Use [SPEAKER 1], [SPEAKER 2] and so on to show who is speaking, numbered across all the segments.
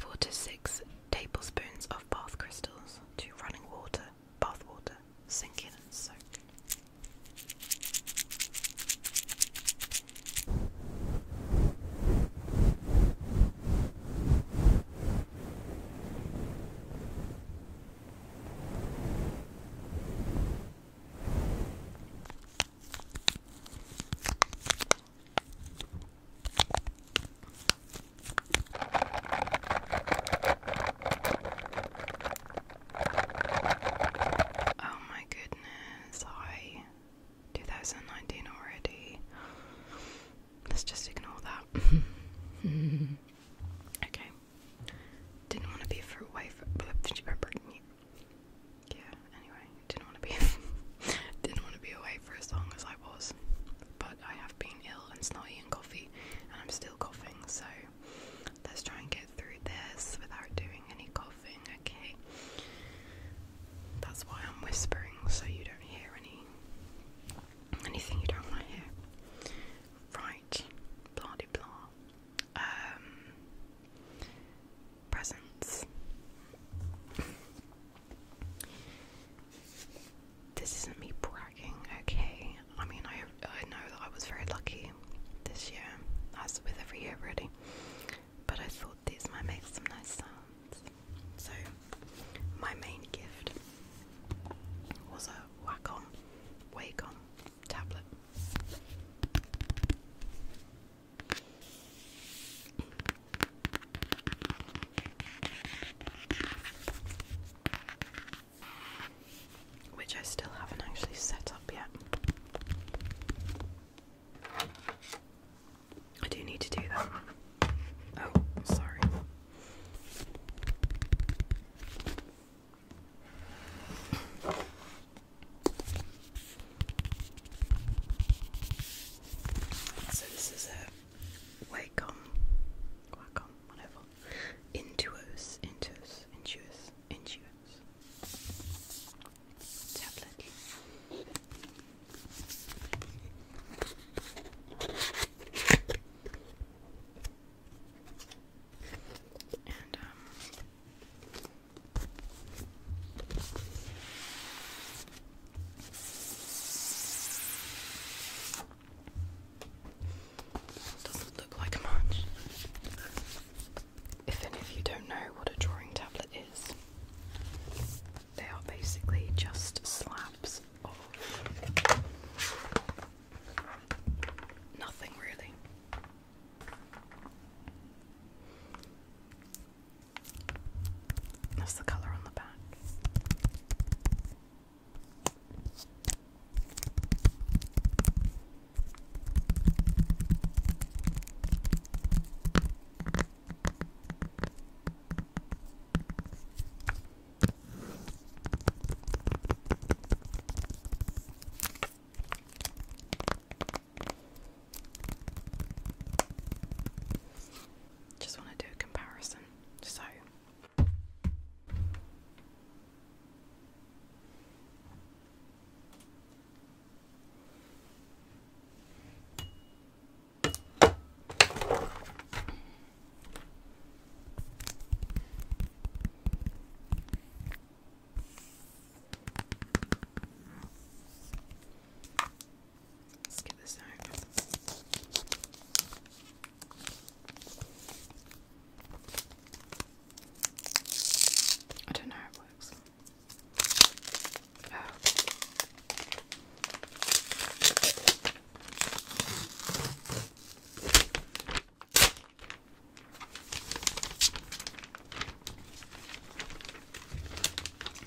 [SPEAKER 1] Four to six tablespoons of bath crystals to running water, bath water, sink in and soak. Oh my goodness, I 2019 already. Let's just ignore that. okay. Didn't want to be for wife. Yeah, anyway, didn't want to be didn't want to be away for as long as I was. But I have been ill and snotty and coffee and I'm still coughing, so let's try and get through this without doing any coughing, okay? That's why I'm whispering so you don't hear any anything you don't want to hear. Right, blah de blah. Um, presents. This isn't me bragging, okay? I mean, I, I know that I was very lucky this year, as with every year, really. But I thought these might make some nice sounds. So, my main gift was a Wacom Wacom tablet. Which I still haven't actually set up yet. I do need to do that. Oh, sorry. So this is a Wacom, Wacom, whatever, Intuos, Intuos, Intuos, Intuos tablet. Um, doesn't look like much. If any of you don't know what a drawing tablet is, they are basically just slabs of nothing really. That's the color on the back. Just want to do a comparison. So Let's get this out. I don't know how it works. Oh.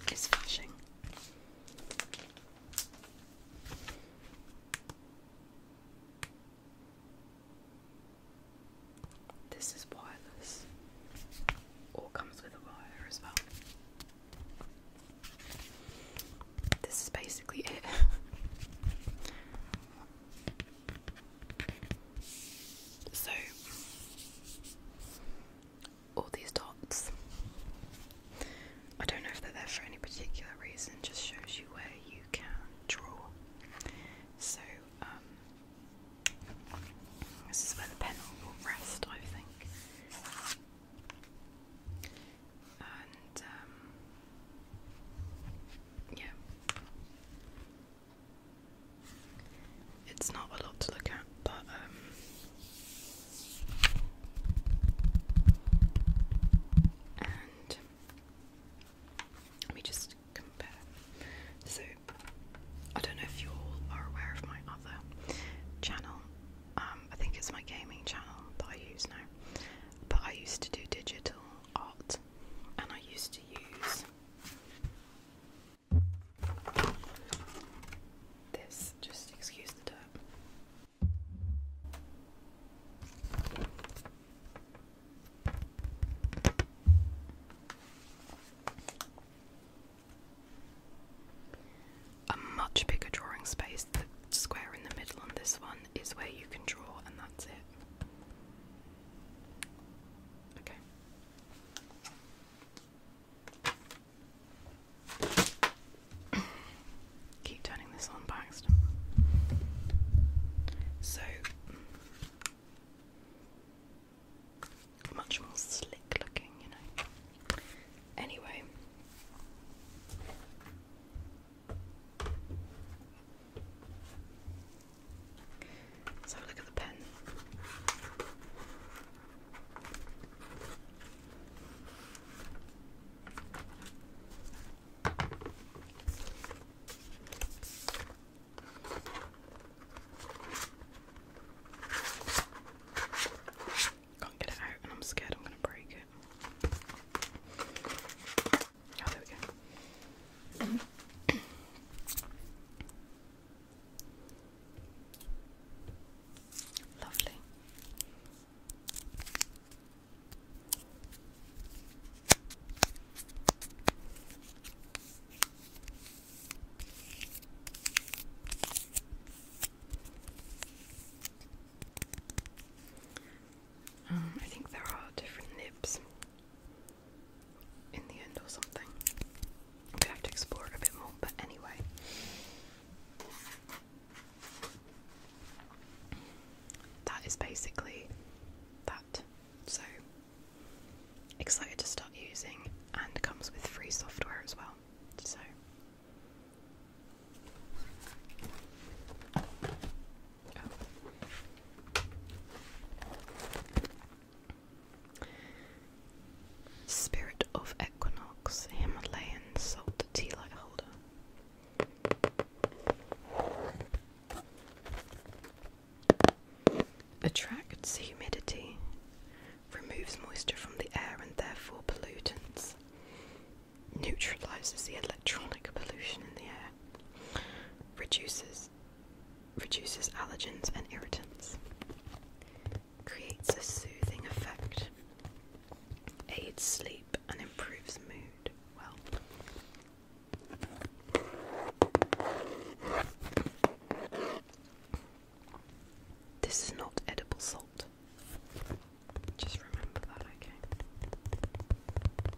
[SPEAKER 1] It's flashing. This is wireless. All comes with a wire as well. This is basically it. So, all these dots, I don't know if they're there for any particular reason, just shows you where you can draw. So, um, this is where the pen will rest, I think. And, um, yeah. It's not a lot to look at, but um and let me just compare. So I don't know if you all are aware of my other channel. Um, I think it's my gaming channel that I use now. But I used to do digital art and I used to use this, just excuse the dirt. A much bigger drawing space. The square in the middle on this one is where you can draw, and that's it. Okay. Keep turning this on, Baxter. So much more slick looking, you know. Anyway. Let's have a look at the pen. Can't get it out, and I'm scared I'm going to break it. Oh, there we go. Lovely. Um, I think there are different nibs in the end or something. We have to explore it a bit more, but anyway. That is basically that. So excited to start using and comes with free software as well. So Spirit of Equinox, Himalayan salt tea light holder. Attracts humidity, removes moisture from the air and therefore pollutants, neutralizes the electronic pollution in the air, reduces reduces allergens and irritants, creates a soothing effect, aids sleep, and improves mood. Well, this is not edible salt. Just remember that, okay?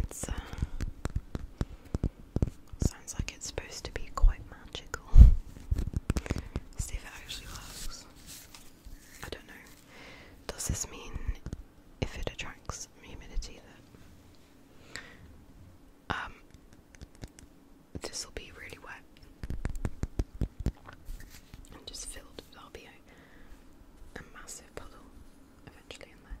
[SPEAKER 1] it's uh, sounds like it's supposed to be quite magical. See if it actually works. I don't know. Does this mean if it attracts humidity that um this will be really wet and just filled with RBO? a massive puddle eventually in there.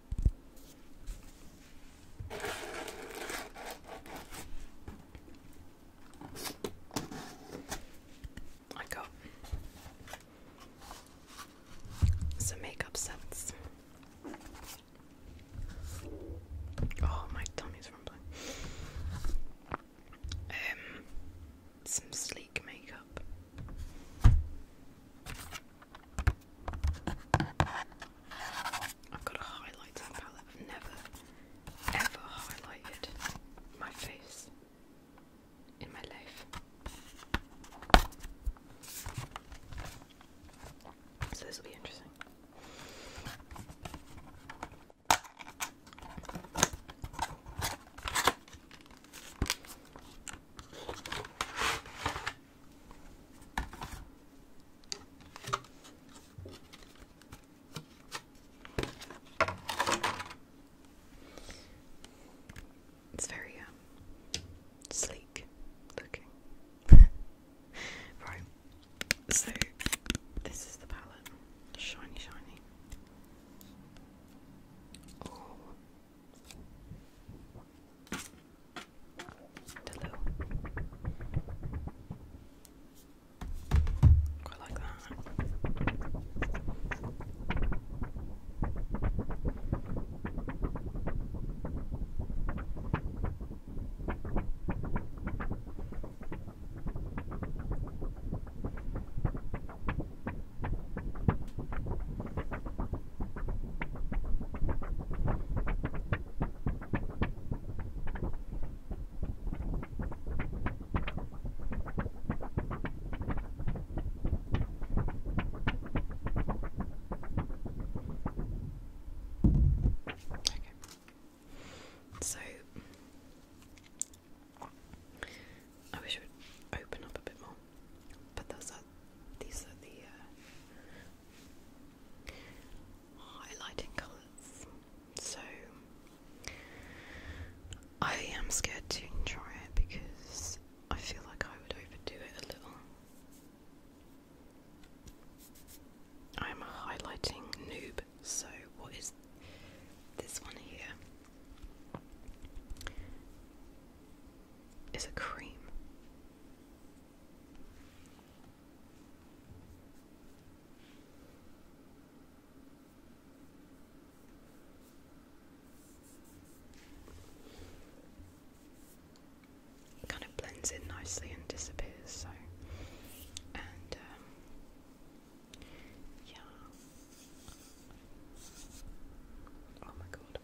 [SPEAKER 1] I got some makeup sets. Oh, my tummy's rumbling. Um, some sleek makeup. I've got a highlighter palette. I've never ever highlighted my face in my life. So this will be interesting. It's very um, sleek looking. right, so this is the palette. Shiny, shiny. Oh. Hello. Quite like that. So I wish it would open up a bit more, but those are these are the uh, highlighting colours. So I am scared to try it because I feel like I would overdo it a little. I am a highlighting noob, so what is this one here? Is a cream. It kind of blends in nicely and disappears, so and um, yeah. Oh my god.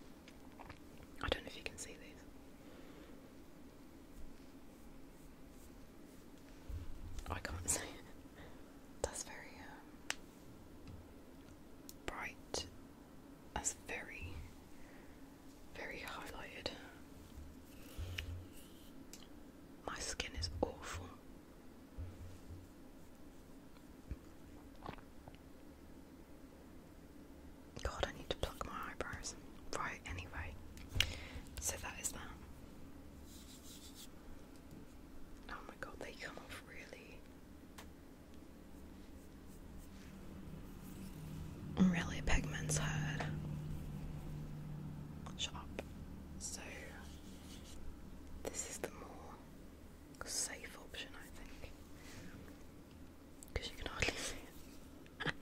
[SPEAKER 1] I don't know if you can see this. I can't see That's very um, bright. That's very, very highlighted. My skin is awful. God, I need to pluck my eyebrows. Right, anyway. So that is that. Oh my god, they come off really. Really pigments Shut up. So this is the more safe option I think you can hardly see it.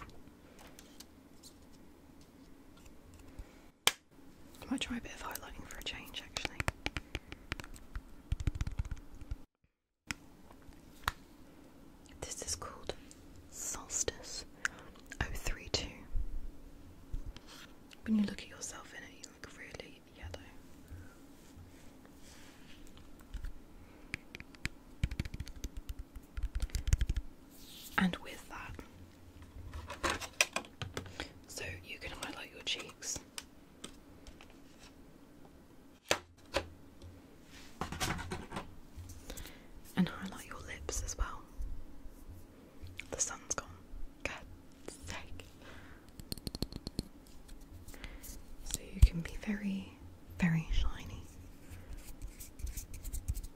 [SPEAKER 1] I might try a bit of highlighting for a change actually. This is called Solstice 032. When you look at yourself in it, you look really yellow. And with that, so you can highlight your cheeks. And highlight your lips as well. The sun's gone. God's sake. So you can be very, very shiny.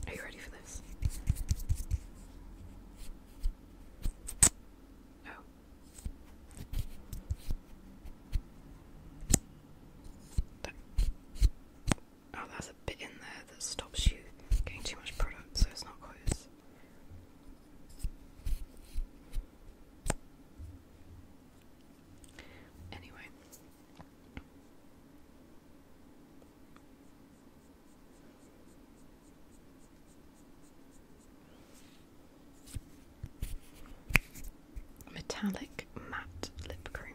[SPEAKER 1] Are you ready for this? Oh. oh, that's a bit in there that stops you getting too much product, so it's not close. Anyway. Metallic matte lip cream.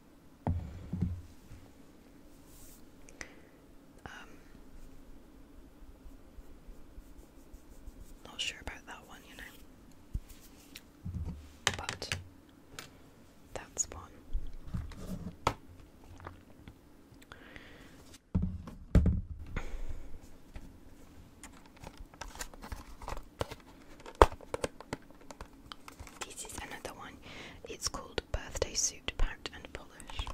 [SPEAKER 1] um, not sure about that one, you know. But that's one. This is another one. It's called Birthday Suit Pat and Polish.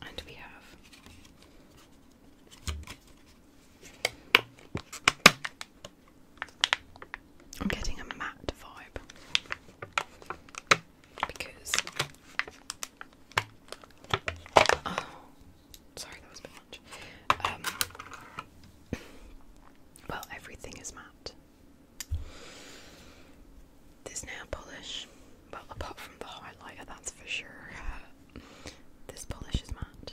[SPEAKER 1] And we have I'm getting a matte vibe because oh, sorry that was a much. Um, well, everything is matte. This nail polish, well, apart from the highlighter, that's for sure. This polish is matte.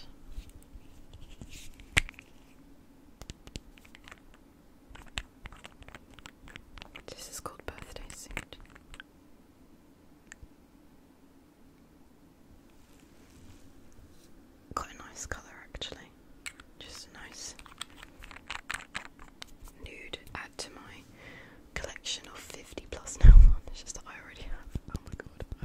[SPEAKER 1] This is called birthday suit. Quite a nice colour actually. Just a nice nude add to my collection of 50 plus nail varnish that I already have. Oh my god,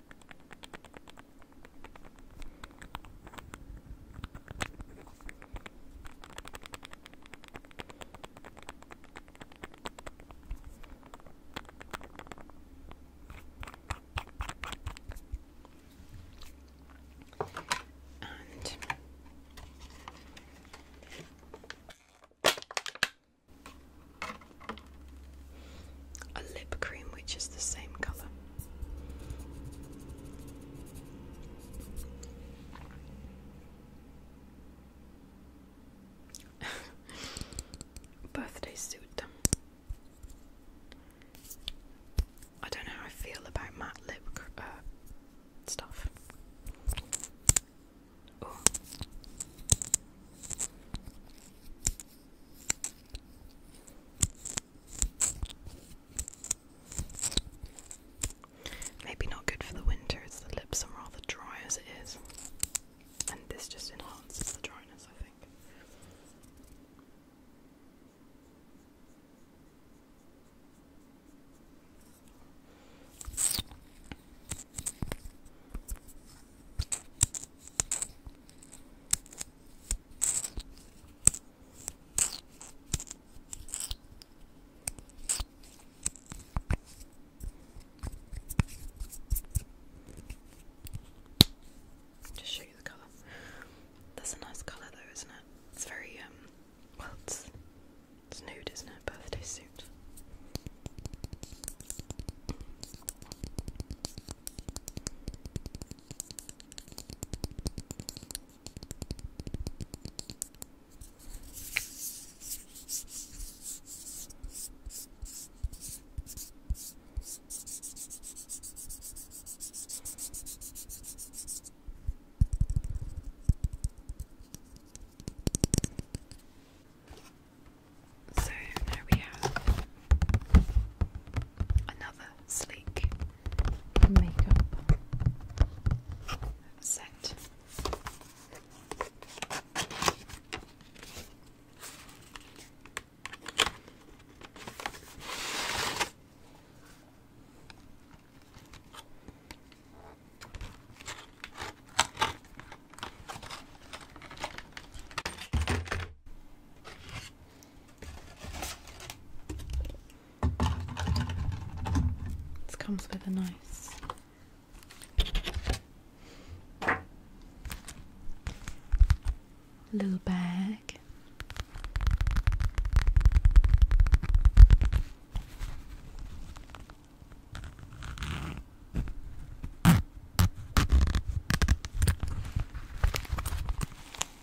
[SPEAKER 1] And a lip cream which is the same colour. Birthday suit. I don't know how I feel about matte lip uh, stuff. Oh. Maybe not good for the winter, the lips are rather dry as it is. And this just enhances the dryness, I think. Just show you the colour. That's a nice colour though, isn't it? It's very um well it's it's nude, isn't it? Birthday suit. So there we have another sleek makeup set. This comes with a nice little bag.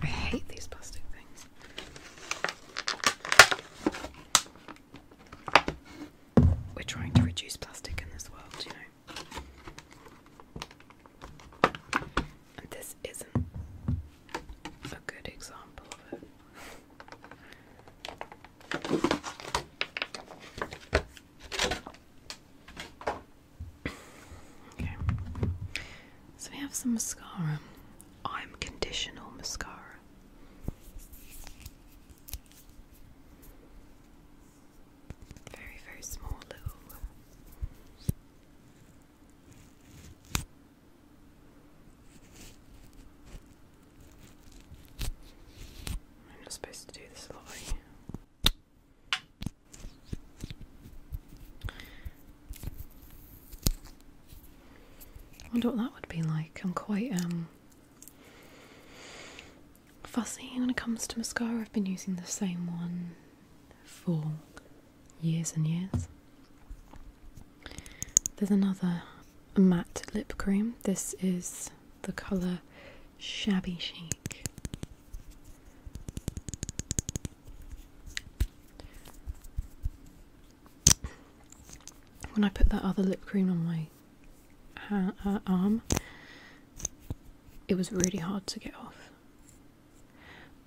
[SPEAKER 1] I hate these plastic things we're trying to reduce plastic in this world, you know. And this isn't a good example of it. okay. So we have some mascara. I'm conditional mascara. Very, very small little. I'm not supposed to do this lot, I wonder what that would be like. I'm quite um fussy when it comes to mascara. I've been using the same one for years and years. There's another matte lip cream. This is the colour Shabby Chic. When I put that other lip cream on my ha uh, arm, uh, um, it was really hard to get off.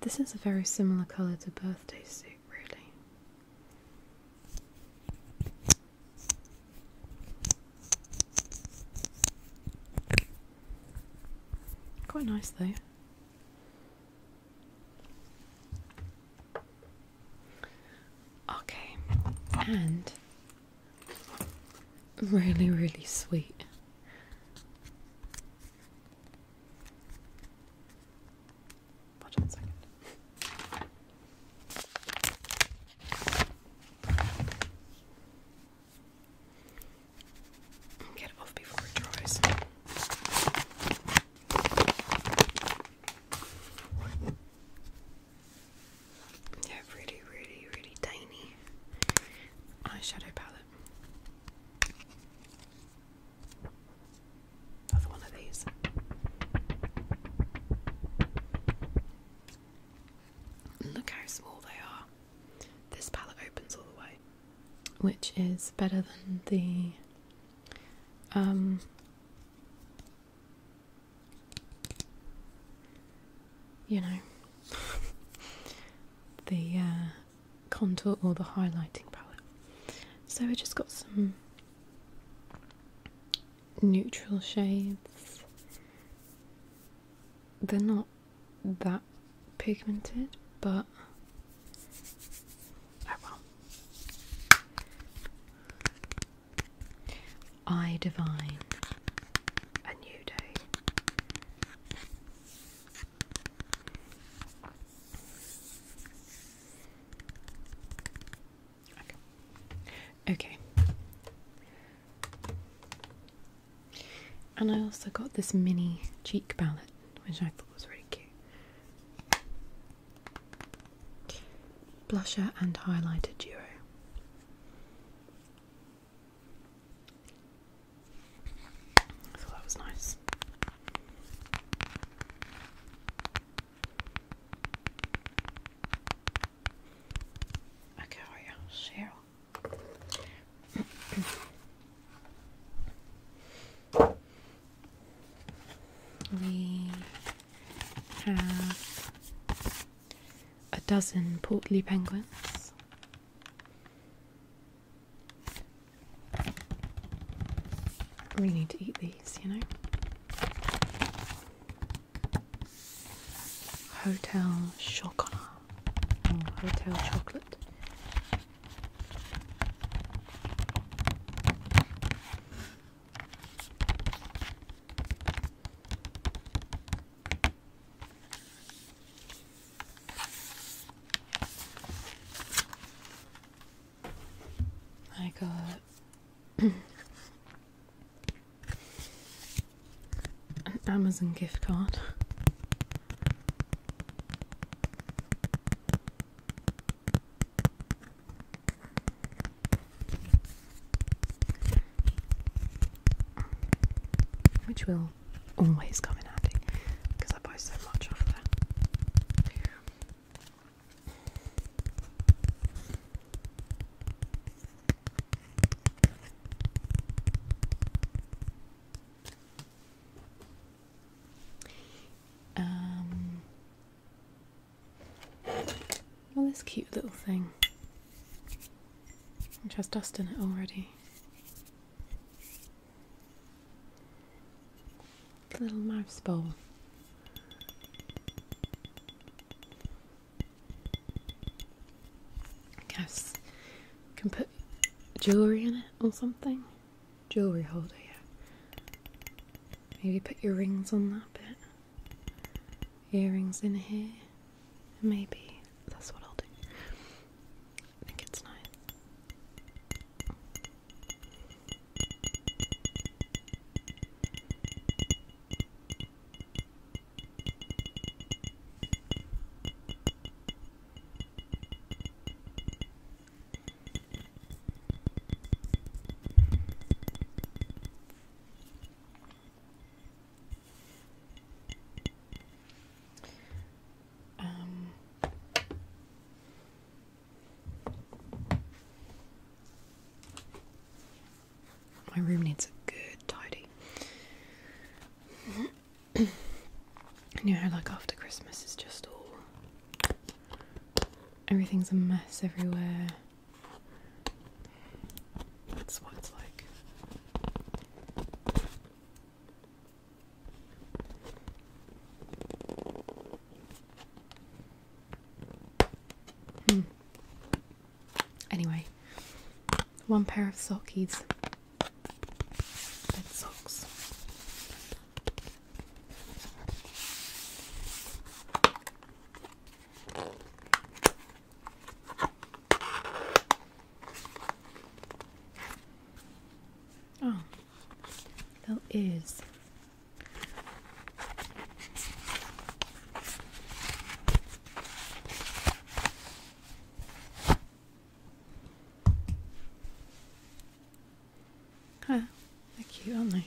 [SPEAKER 1] This is a very similar colour to birthday suit, really. Quite nice though. Okay, and Really, really sweet. Get off before it dries. Yeah, really, really, really tiny eyeshadow palette. Another one of these. Look how small they are. This palette opens all the way, which is better than the um you know, the uh, contour or the highlighting palette. So we just got some neutral shades. They're not that pigmented, but oh well. I divine a new day. Okay. And I also got this mini cheek palette, which I thought was really cute blusher and highlighter duo. that was nice. Okay, are you We have a dozen portly penguins. We need to eat these, you know. Hotel Chocolat mm, Hotel Chocolate. I got an Amazon gift card which will always come in handy because I buy so much of that. Um, Oh, this cute little thing, which has dust in it already. Little mouse bowl. guess can put jewellery in it or something. Jewellery holder, yeah. Maybe put your rings on that bit earrings in here. Maybe that's what I'll do. I think it's nice. Um, my room needs a good tidy. you know, like after Christmas, is just all everything's a mess everywhere. That's what it's like. Hmm. Anyway, one pair of sockies. Bed socks. Oh, that is. Huh, they're cute, aren't they?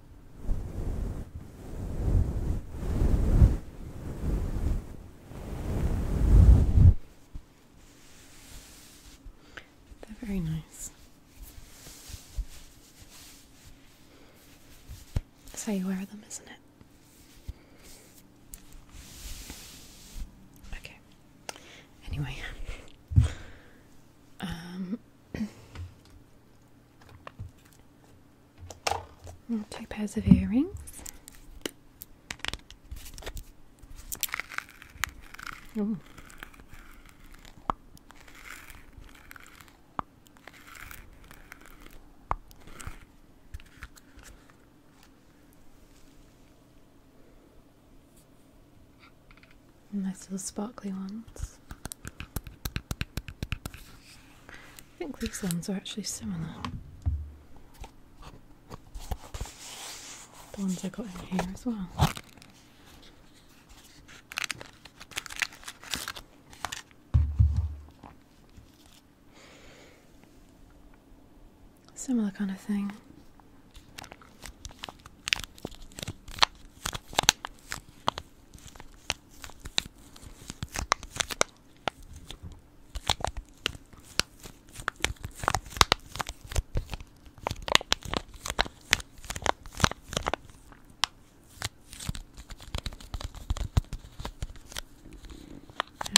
[SPEAKER 1] They're very nice. So you wear them, isn't it? Okay. Anyway. Um, And two pairs of earrings. Ooh. Nice little sparkly ones. I think these ones are actually similar. The ones I got in here as well. Similar kind of thing.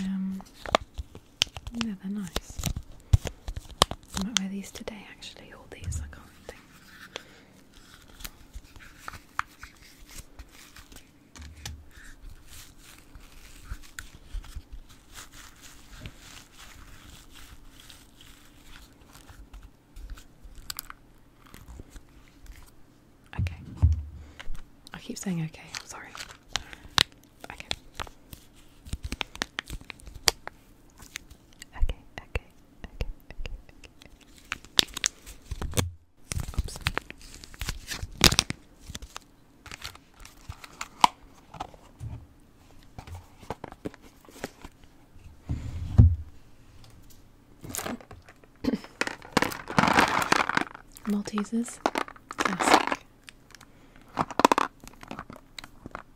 [SPEAKER 1] Um, yeah, they're nice. I might wear these today actually, all these, I can't think. Okay. I keep saying okay, I'm sorry. Okay. Okay, okay, okay, okay, Oops. Maltesers, classic.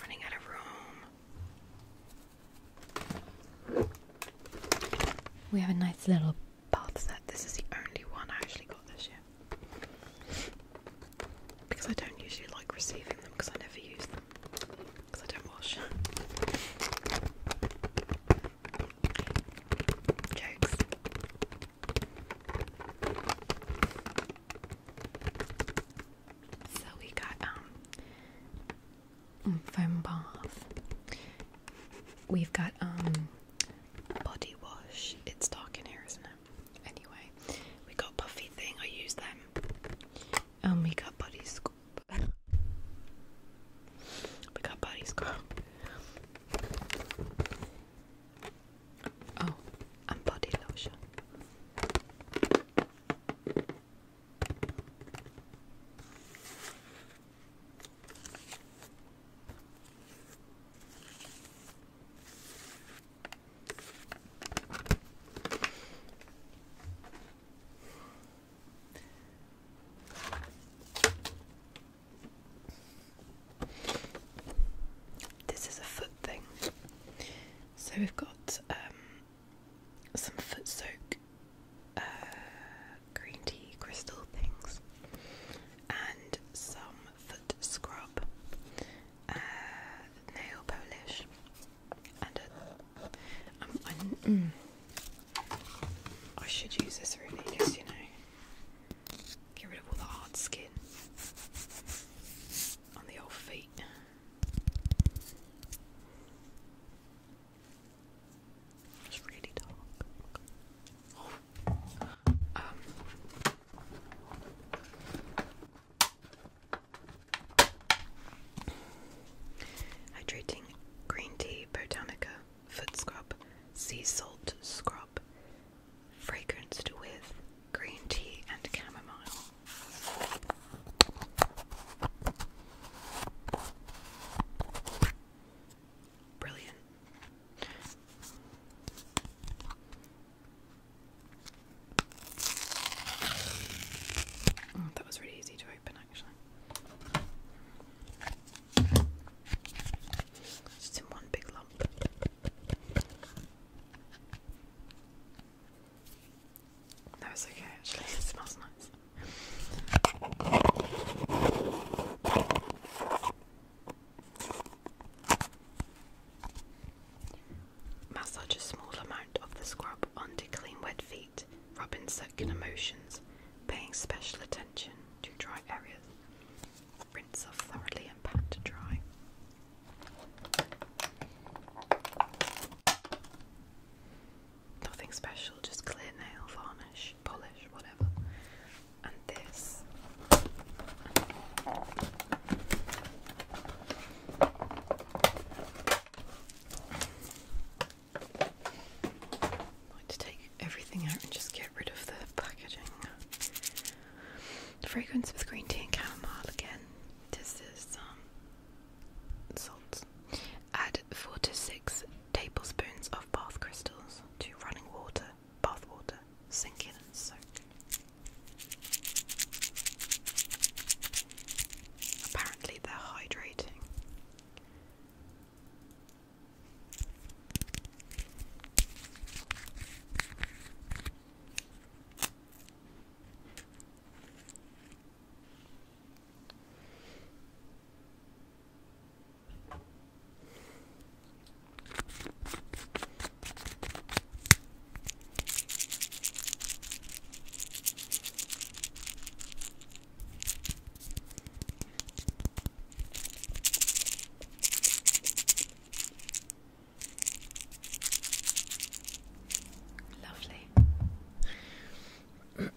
[SPEAKER 1] running out of room. We have a nice little bath set. This is the only one I actually got this year. Because I don't usually like receiving them because I never use them because I don't wash. Jokes. So we got um foam bath. We've got um body wash. It's dark in here, isn't it? Anyway, we got puffy thing. I use them. Um, we got body sc we got bodies, scar. Oh, and body lotion. This is a foot thing. So we've got um, some foot soak uh, green tea crystal things and some foot scrub, uh, nail polish, uh, um, mm, I, should use this really, just you know, get rid of all the hard skin on the old feet. It's really dark. Um, Hydrating green tea, botanica, foot scrub, sea salt scrub, fragranced with green tea and chamomile. Brilliant. Oh, that was really easy to open actually. Just in one big lump. No, it's okay actually, it smells nice. Massage a small amount of the scrub onto clean wet feet, rub in circular motions, paying special attention to dry areas. Rinse off thoroughly and pat to dry. Nothing special, just clear nail varnish, polish, whatever. And this to take everything out and just get rid of the packaging. Fragrance with green tea and chamomile again. This is um, salt. Add four to six tablespoons of bath crystals to running water, bath water, sink in and soak. Apparently, they're hydrating. Lovely.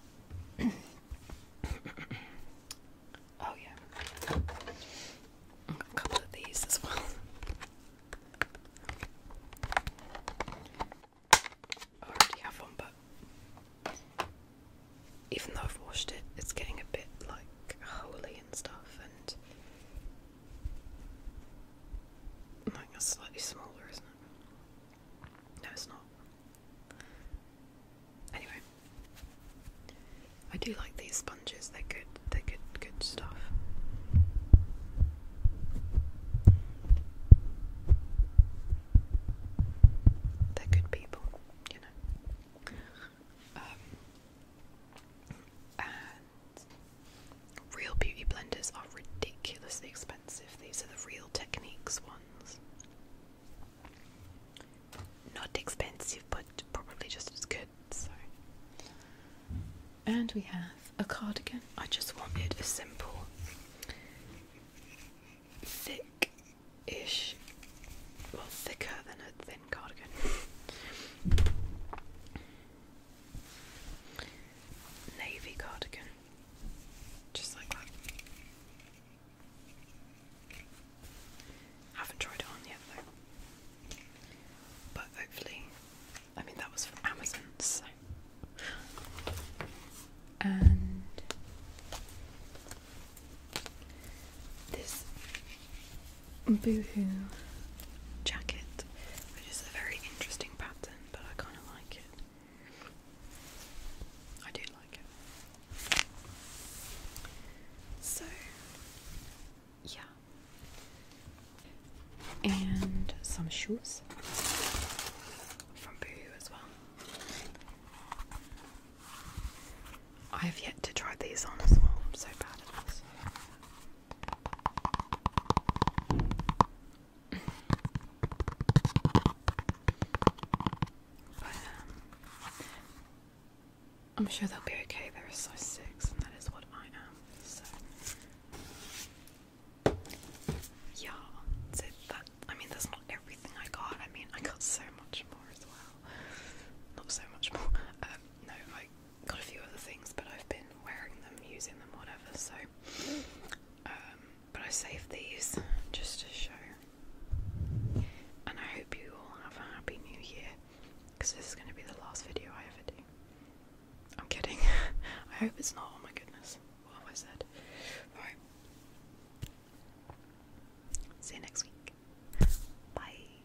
[SPEAKER 1] oh, yeah. a couple of these as well. I already have one, but even though I've washed it, it's getting a bit like holy and stuff, and like that's slightly smaller, isn't it? No, it's not. Anyway, I do like these sponges. They're good. They're good. Good stuff. They're good people, you know. Um, real beauty blenders are ridiculously expensive. These are the real techniques ones. Not expensive, but probably just as good. And we have a cardigan. I just wanted a simple, thick ish, well, thicker than a thin cardigan. Navy cardigan. Just like that. Haven't tried it on yet though. But hopefully I mean, that was from Amazon, so. And this Boohoo jacket, which is a very interesting pattern, but I kind of like it. I do like it. So, yeah and some shoes from Boohoo as well. I have yet to try these on as well. I'm so bad at this. but, um, I'm sure they'll be okay. They're a size six, and that is what I am. Yeah, so that I mean that's not everything I got. I mean I got so much more as well. Not so much more. Um, no, I got a few other things, but I've been wearing them, using them, whatever. So, um, but I saved these just to show. And I hope you all have a happy new year, because this is going to be the last video I ever do. I'm kidding. I hope it's not. Oh my goodness. What have I said? Alright. See you next week. Bye.